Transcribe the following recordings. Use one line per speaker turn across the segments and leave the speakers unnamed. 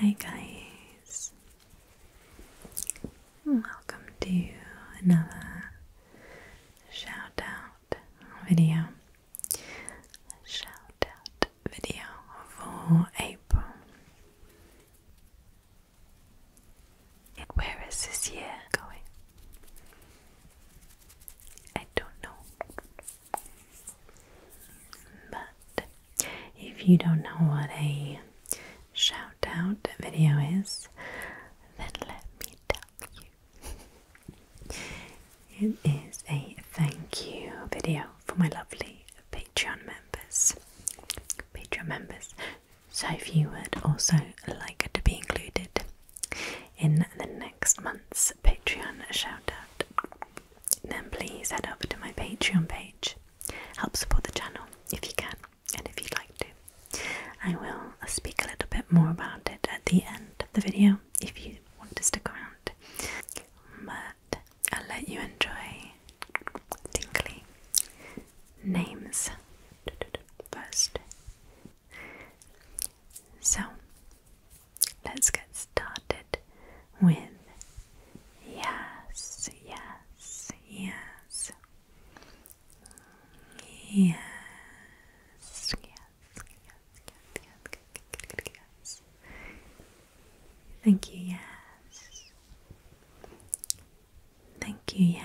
Hi guys, welcome to another shout out video. Shout video for April. Where is this year going? I don't know. But if you don't know what a shout out video is, then let me tell you. It is a thank you video for my lovely Patreon members. Patreon members. So if you would also like it to be included in the next month's Patreon shoutout. Then please head over to my Patreon page. Help support the channel if you can and if you'd like to. I will speak a little bit more about it at the end of the video if you want to stick around. But I'll let you enjoy tingly names first. So let's get started with yes, yes, yes. Yes, yes, yes, yes, yes, yes. Thank you, yes. Thank you, yes.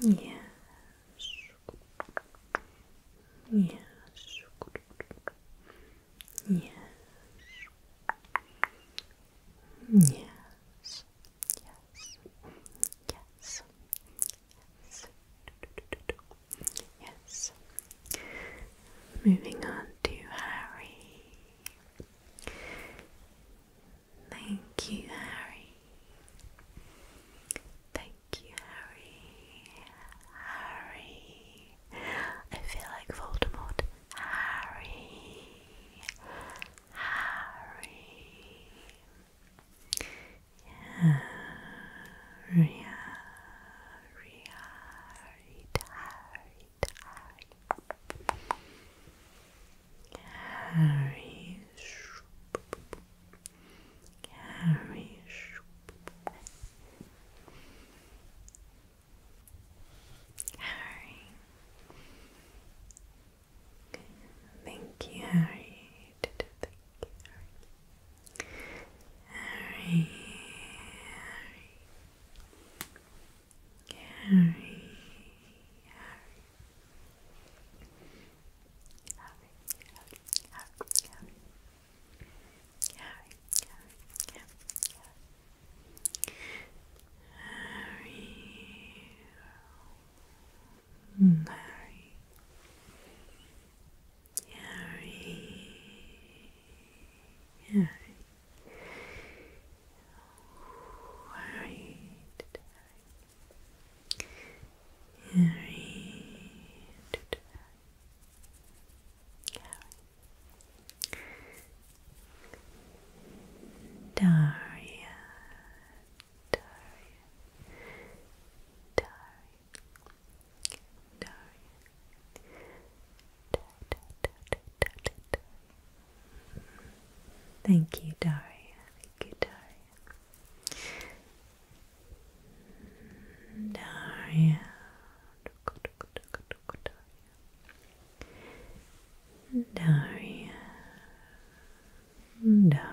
Yes. Yes. Yes. Yes. Yes. Yes. Yes. Yes. Moving on to Harry. Thank you, Harry. Thank you, Harry. Harry. I feel like Voldemort. Harry. Harry. Harry. Harry. Harry. Harry, Harry, Harry. Thank you, Harry. Thank you, Harry. Harry, Harry, Harry, Harry, Harry, Harry, Harry, Harry, Harry, Right. Right. Daria, Daria, Daria, Daria, Thank you, Daria. Daria. Daria. Daria.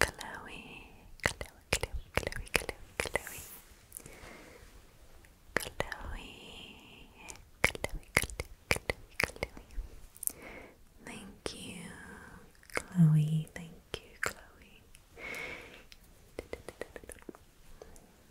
Chloe, Chloe, Chloe, Chloe, Chloe. Chloe, Chloe, Chloe, Chloe, Chloe. Thank you, Chloe. Thank you, Chloe.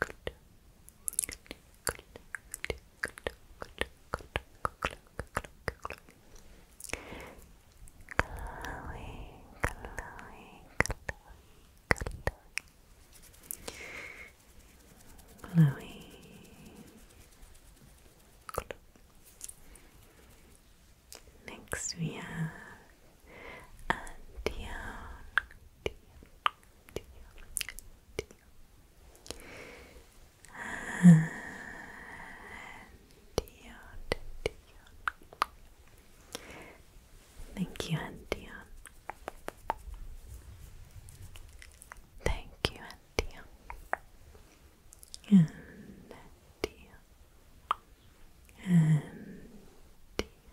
Good. Good. Good. Good. Good. Good. Good. Good. Chloe, Chloe, Chloe, Chloe. Chloe. Next we have Antion, dear, dear. Dion, Dion. Thank you, Antion. Thank you, Antion. And Dion.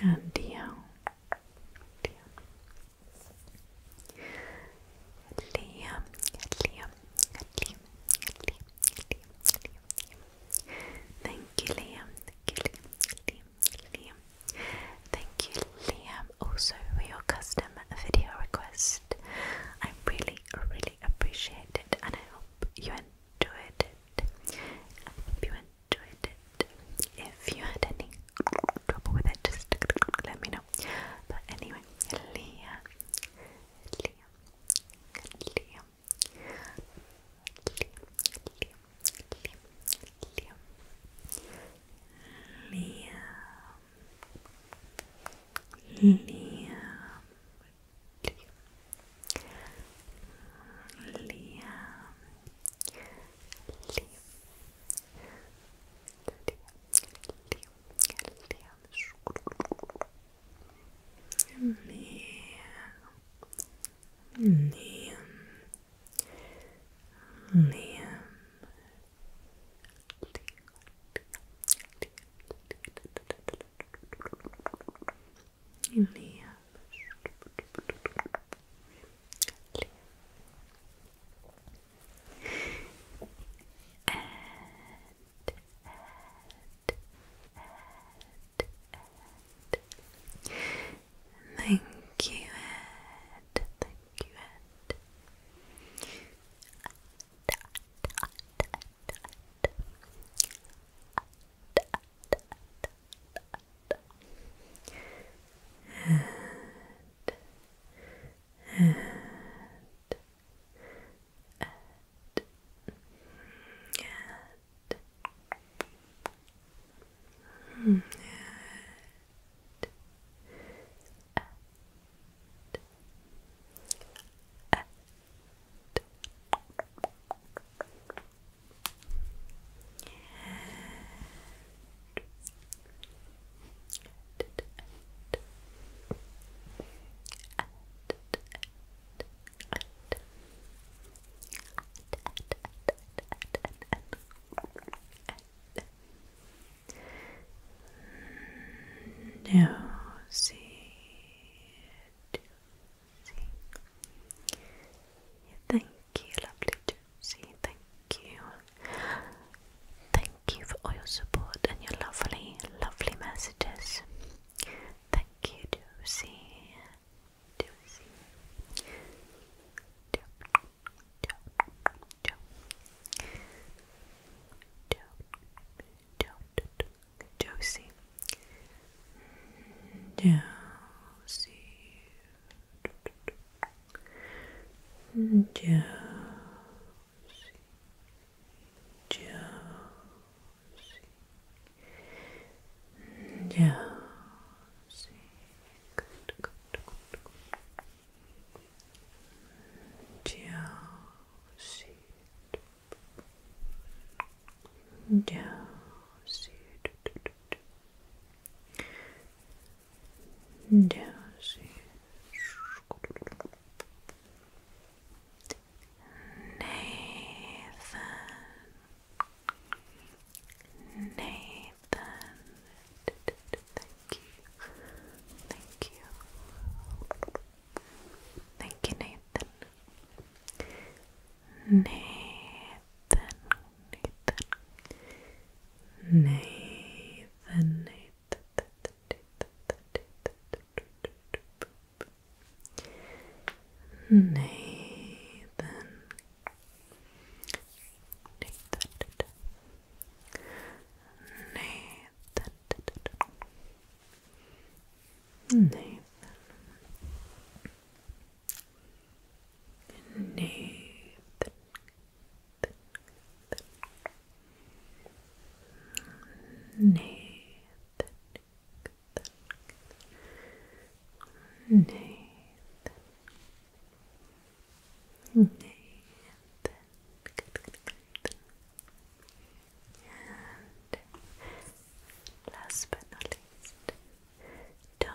and down, down, Liam, Liam, Liam, Liam, Liam, Liam. Thank you, Liam. Thank you, Liam. Liam. Thank you, Liam, also for your custom video request. I really, really appreciate it, and I hope you enjoyed it. I hope you enjoyed it if you had any trouble with it, just let me know. But anyway, Leah, Leah, Leah, Leah, Leah, Leah, Leah, Liam, Liam, Liam, Liam. Liam. Thank you, Ed. Thank you, Ed and and and and, and. And, no, see, see. You you, lovely Josie. Thank you. Thank you for all your support and your lovely, lovely messages. Thank you, Josie. Josie. Josie. Josie. Josie, Josie, Josie. Good, Josie, Josie, down Nathan Nathan thank you thank you thank you Nathan Nathan, Nathan, Nathan, Nathan, Nathan, Nathan. Nathan. Nathan, Nathan, Nathan, Nathan, and last but not least, Tom.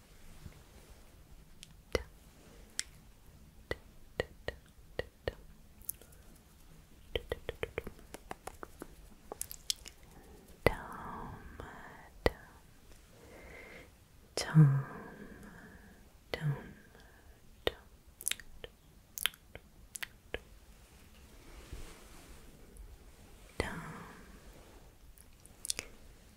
Tom, Tom, Tom. Tom,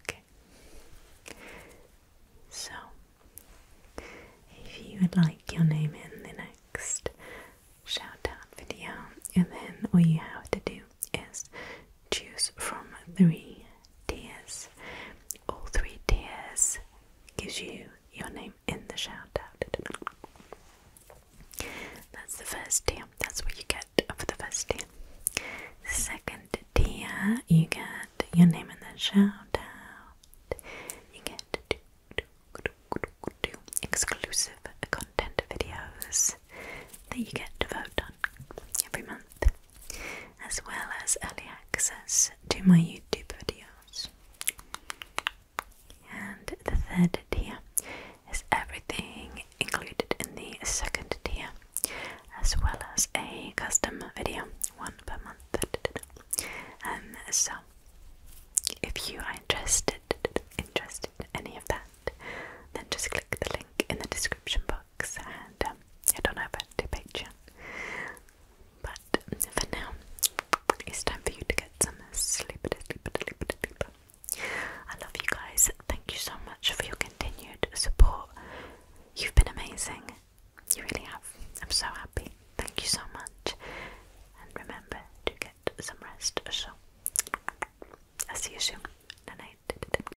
Okay. So, if you would like your name in the next shout out video, and then all you have to do is choose from three tiers. All three tiers gives you your name in the shout out. That's the first tier. That's what you get for the first tier. second tier, you get your name in the shout You get exclusive content videos that you get to vote on every month, as well as early access to my YouTube videos. And the third tier is everything included in the second tier, as well as a custom video, one per month. Um, so, if you are interested, interested in any of that, then just click the link in the description box and I um, don't have to Patreon. But for now, it's time for you to get some sleep. I love you guys. Thank you so much for your continued support. You've been amazing. You really have. I'm so happy. Thank you so much. And remember to get some rest. So, I'll see you soon. Good night.